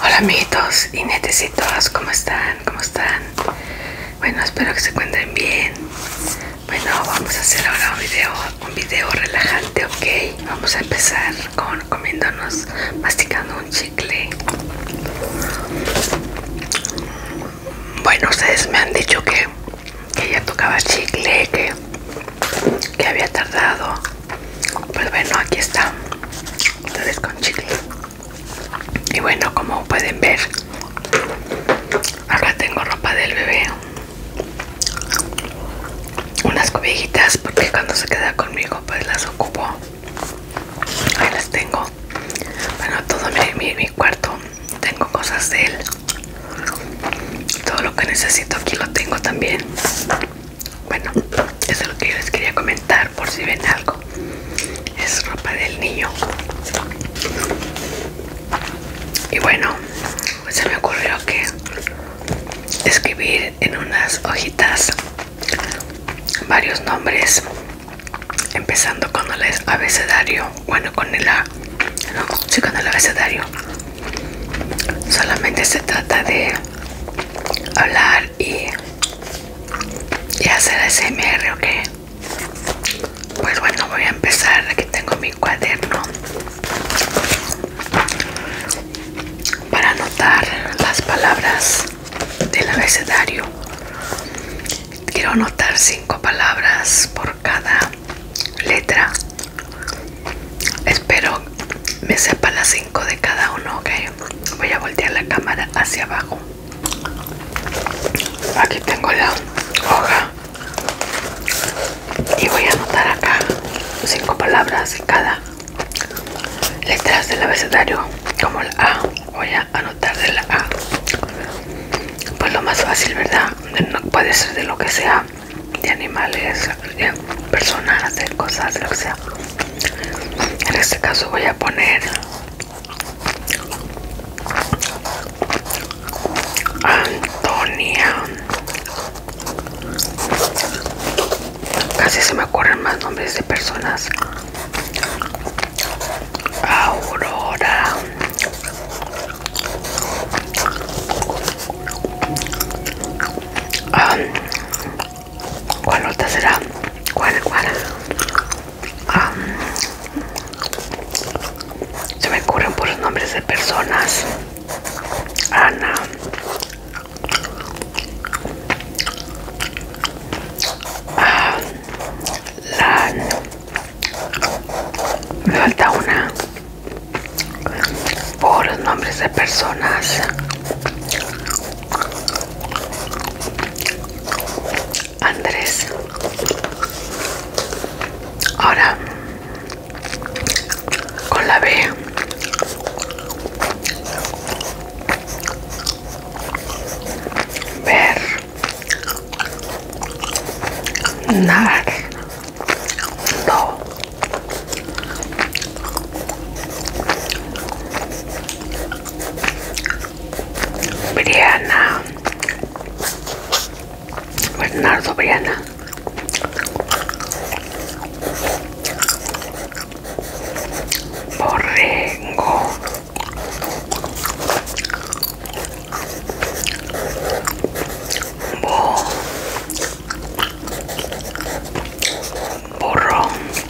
Hola amiguitos y netecitos, ¿cómo están? ¿Cómo están? Bueno, espero que se encuentren bien. Bueno, vamos a hacer ahora un video, un video relajante, ¿ok? Vamos a empezar con comiéndonos, masticando un chicle. Bueno, ustedes me han dicho que, ella ya tocaba chicle, que, que había tardado. Pues bueno, aquí está entonces con chicle y bueno como pueden ver acá tengo ropa del bebé unas cobijitas porque cuando se queda conmigo pues las ocupo ahí las tengo bueno todo mi, mi cuarto tengo cosas de él todo lo que necesito aquí lo tengo también bueno, eso es lo que yo les quería comentar por si ven algo. Es ropa del niño. Y bueno, pues se me ocurrió que escribir en unas hojitas varios nombres, empezando con el abecedario, bueno, con el sí, con el abecedario. Solamente se trata de hablar y, ya hacer SMR, ¿ok? Pues bueno, voy a empezar. Aquí tengo mi cuaderno para anotar las palabras del abecedario. Quiero anotar cinco palabras por cada letra. Espero me sepa las cinco de cada uno, ¿ok? voy a voltear la cámara hacia abajo aquí tengo la hoja y voy a anotar acá cinco palabras en cada letras del abecedario como la A voy a anotar de la A pues lo más fácil verdad no puede ser de lo que sea de animales personas de cosas lo que sea en este caso voy a poner Antonia casi se me ocurren más nombres de personas Aurora ¿Cuál otra será? ¿Cuál, cuál? se me ocurren por los nombres de personas. Ana. Ah, la, me falta una por nombres de personas Andrés. Ahora con la B. Ver. Nar. No Briana Bernardo Briana Borrego Bo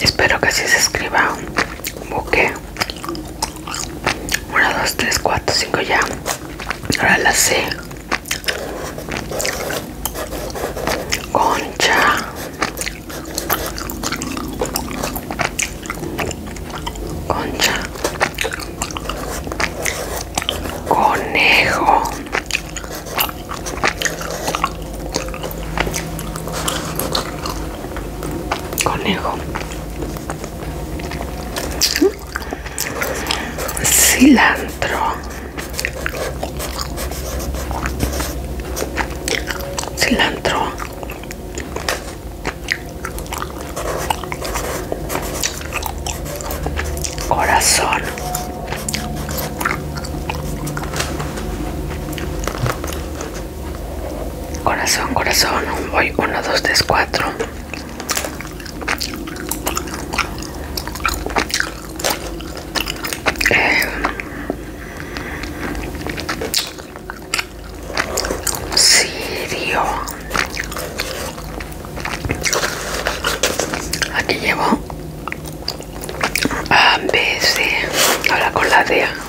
Espero que así se escriba un buque. 1, 2, 3, 4, 5 ya. Ahora la C. Concha. Concha. Conejo conejo cilantro cilantro corazón Corazón, corazón. Voy 1, 2, 3, 4. Eh, Sirio. Aquí llevo a B, C. Ahora con la D.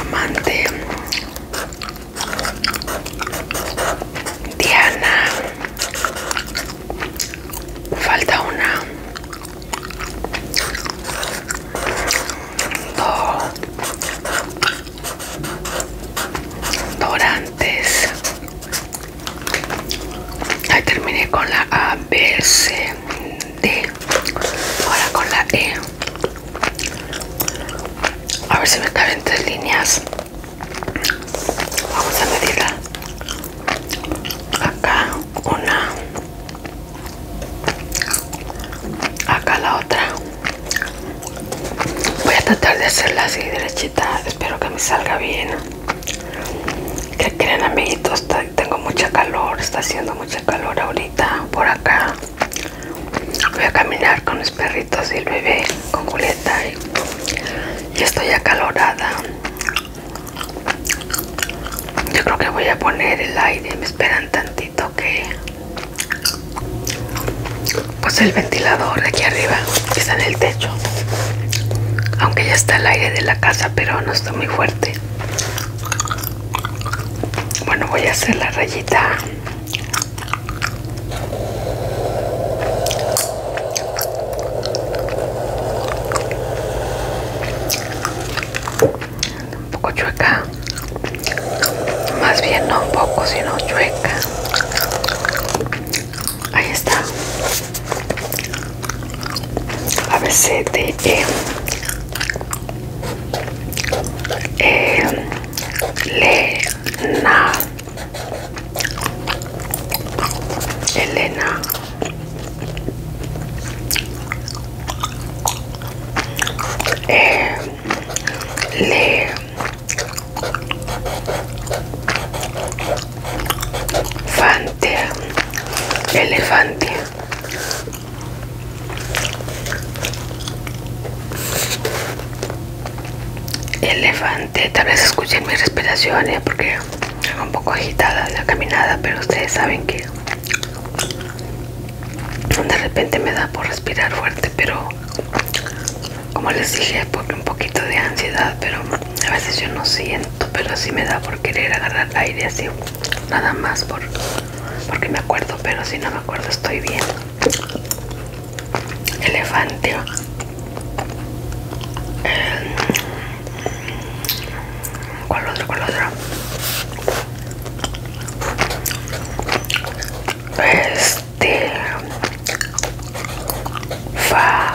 Amante Diana Falta una Dorantes Ahí terminé con la ABC D ahora con la E a ver si me caben tres líneas vamos a medirla acá una acá la otra voy a tratar de hacerla así derechita espero que me salga bien que creen amiguitos tengo mucha calor está haciendo mucha calor ahorita por acá voy a caminar con los perritos y el bebé con Julieta y, estoy acalorada yo creo que voy a poner el aire me esperan tantito que pues el ventilador de aquí arriba que está en el techo aunque ya está el aire de la casa pero no está muy fuerte bueno, voy a hacer la rayita. Un poco chueca. Más bien no un poco, sino chueca. Ahí está. A veces Elena Elena Elena Elefante Elefante Elefante, tal vez escuchen mis respiraciones ¿eh? porque un poco agitada de la caminada, pero ustedes saben que de repente me da por respirar fuerte, pero como les dije, porque un poquito de ansiedad, pero a veces yo no siento, pero sí me da por querer agarrar aire así nada más por porque me acuerdo pero si no me acuerdo estoy bien elefante eh, cuál otro cuál otro este Fa,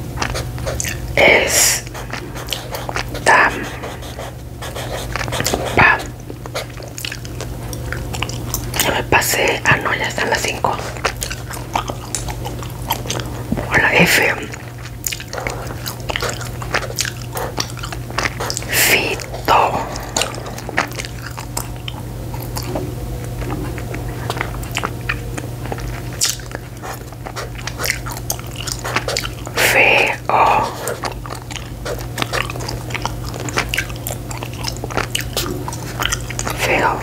es tam pa ya me pasé ah no ya están las 5 hola la F fito fe-o Feo. O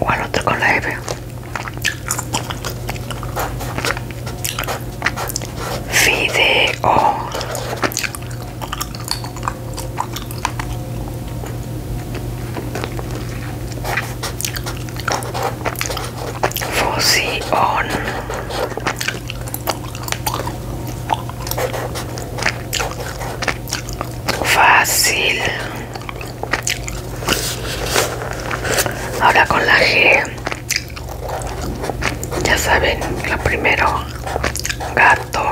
o mm. al otro con la F. o on fácil ahora con la G ya saben lo primero harto.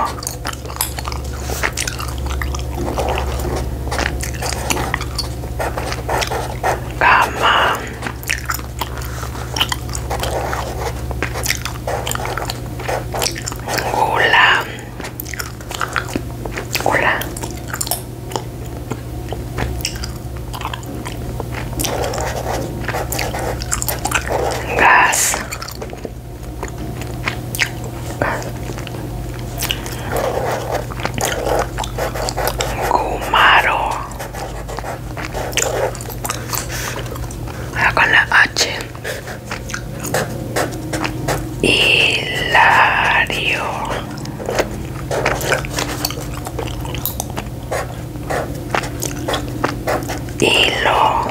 Gama. hola, Gula. Gas. Gumaro, con la H Hilario Hilo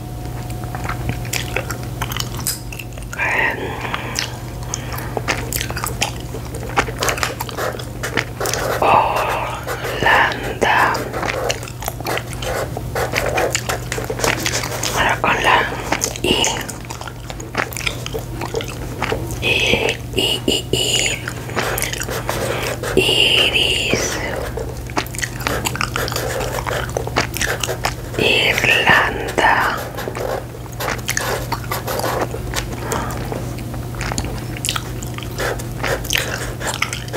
Holanda ahora con la I I, I, I, I. iris Irlanda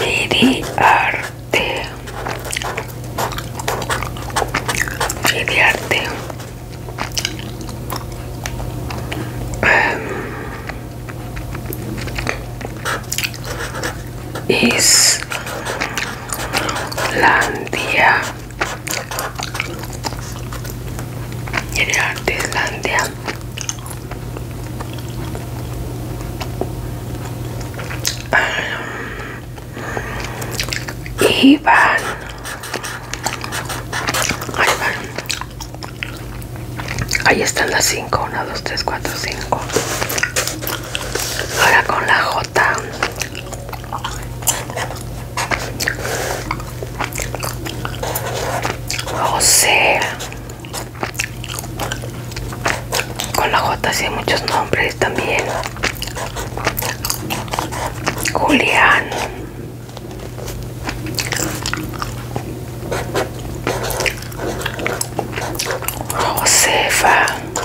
Iriarte Iriarte em, Is Landia y el arte Islandia ah, van ahí van ahí están las 5 1, 2, 3, 4, 5 ahora con la J José con la J sí hay muchos nombres también Julián Josefa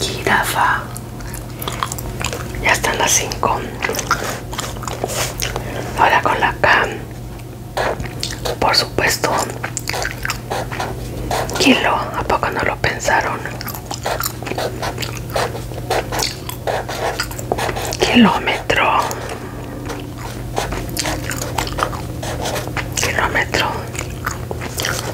Girafa, Ya están las 5. Ahora con la cam Por supuesto. Kilo. ¿A poco no lo pensaron? Kilómetro. Kilómetro.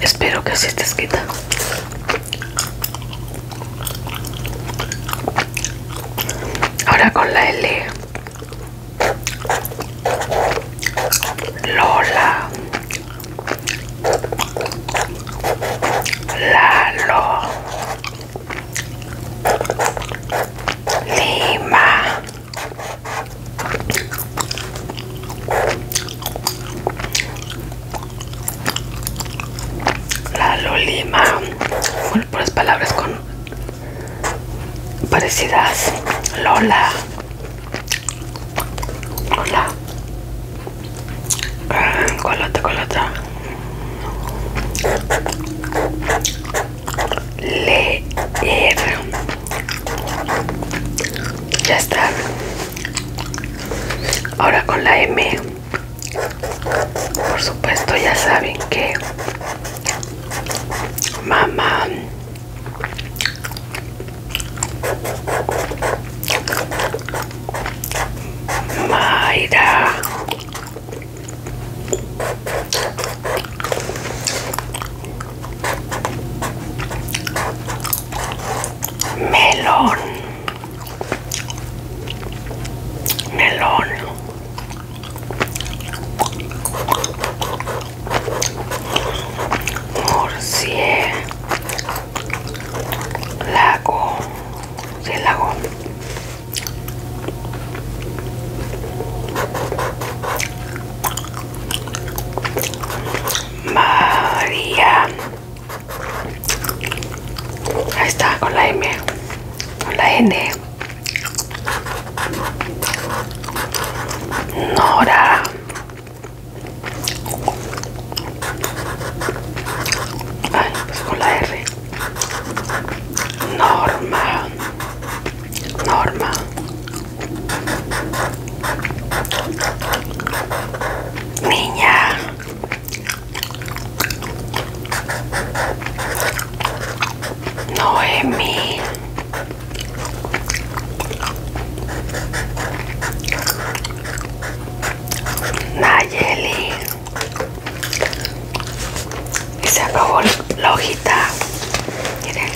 Espero que así estés quita Ahora con la L. Lola. Lalo. Lima. La Lolima, por las palabras con parecidas. Lola, Lola, ah, colota, colota. Leer, ya está. Ahora con la M, por supuesto ya saben que mamá melón melón MORSIÉ lago sí, lago María Ahí está, con la M, con la N. Nora. pues con la R. Norma. Norma. Niña. Noemi. Nayeli. Y se acabó la hojita. Miren.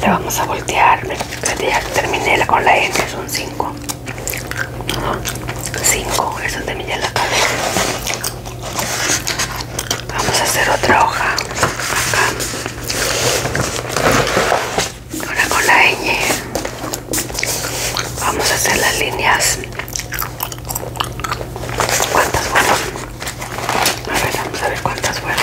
Le vamos a voltear ya terminé con la N, son 5. 5, eso terminé la cabeza. Vamos a hacer otra hoja acá. Ahora con la N. Vamos a hacer las líneas. ¿Cuántas fueron? A ver, vamos a ver cuántas fueron.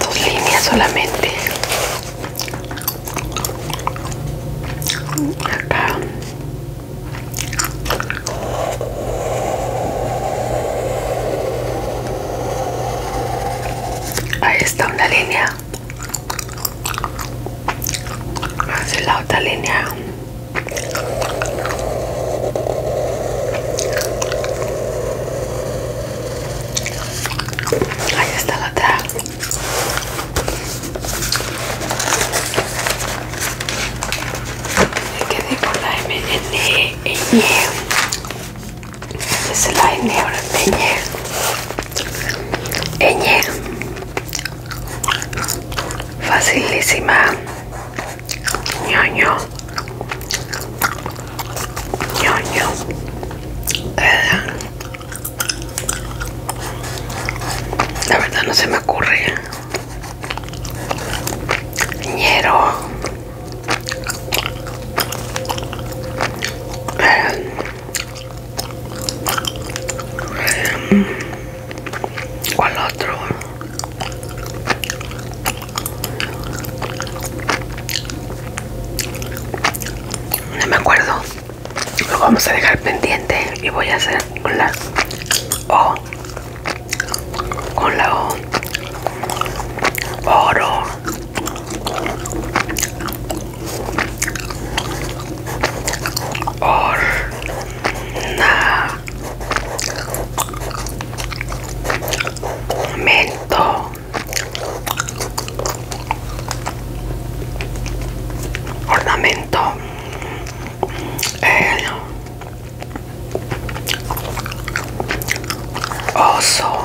Dos líneas solamente. Acá. Ahí está una línea hace la otra línea ahí está la otra me quedé con la M, N, e es la aire, ahora. ene. Ene. Facilísima. Ñoño. Ñoño. La verdad no se me ocurre. Ñero. ¿Cuál otro? No me acuerdo. Lo vamos a dejar pendiente y voy a hacer con la O. Con la O. Oro. Ornamento, mento eh, ornamento El oso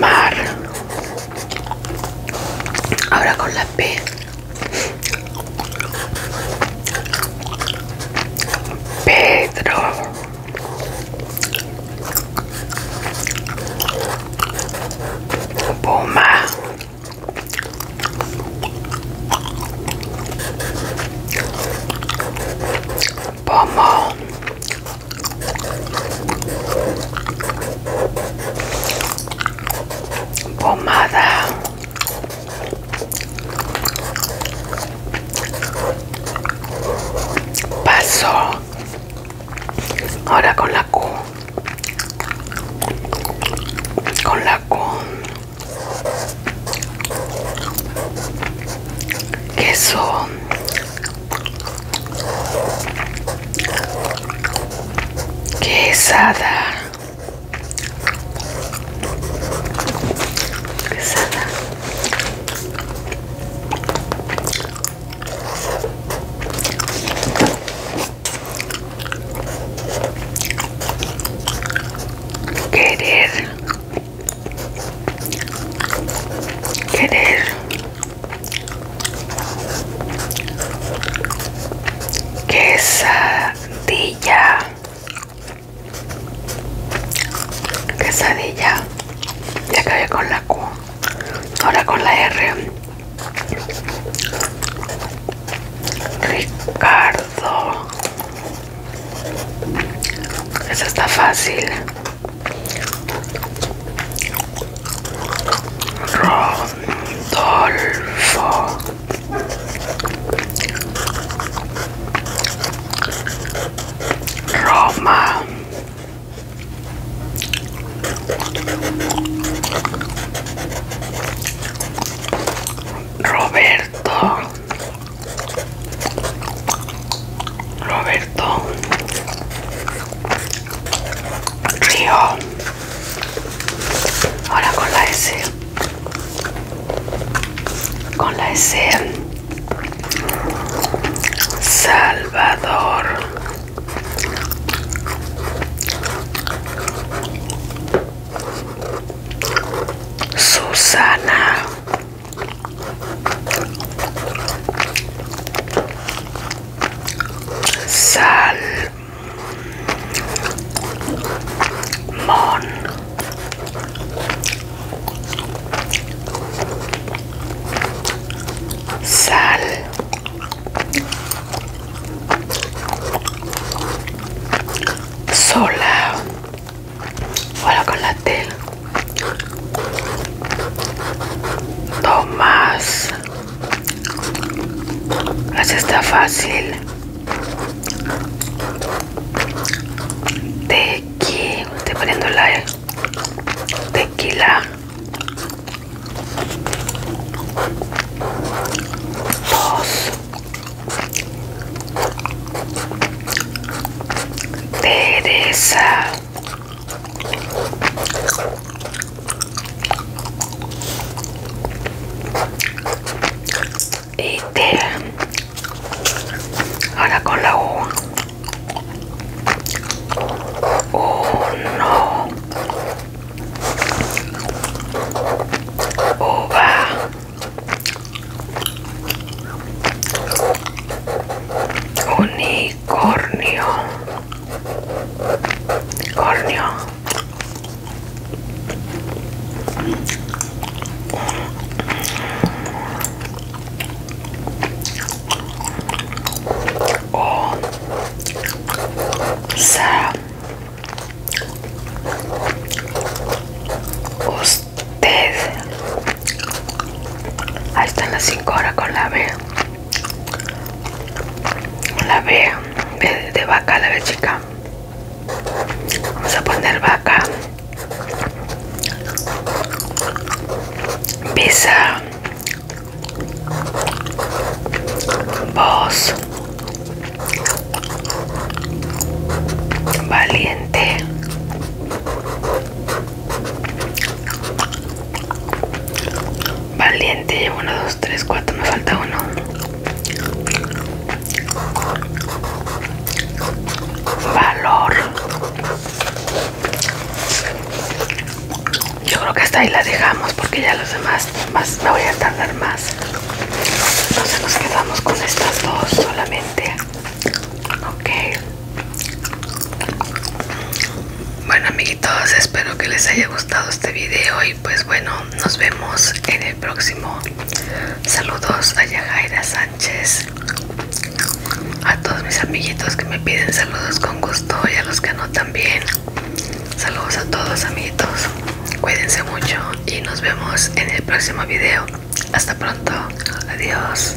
Mar. Ahora con la P. Pedro. Poma Pomo pomada paso ahora con la Q con la Q queso Quesada. Quesada. Querer. Querer quesadilla quesadilla ya acabé con la Q ahora con la R Ricardo eso está fácil Rodolfo. Roma. Roberto. Roberto Río. Ahora con la S. Con la S. Salvador. Susana mon, sal sola ahora con la tela Tomás. Así está fácil. Tequila, te poniendo la tequila. Dos. Teresa y este, ahora con la U uno uva unicornio cornio o Sara usted ahí están las 5 horas con la B la ve de, vaca la ve chica vamos a poner vaca visa voz valiente Valiente, llevo 1, 2, 3, 4, me falta uno. Valor. Yo creo que hasta ahí la dejamos porque ya los demás más me voy a tardar más. Entonces nos quedamos con estas dos solamente. Ok. Bueno amiguitos, espero que les haya gustado este video y pues bueno, nos vemos en el próximo. Saludos a Yahaira Sánchez, a todos mis amiguitos que me piden saludos con gusto y a los que no también. Saludos a todos amiguitos, cuídense mucho y nos vemos en el próximo video. Hasta pronto, adiós.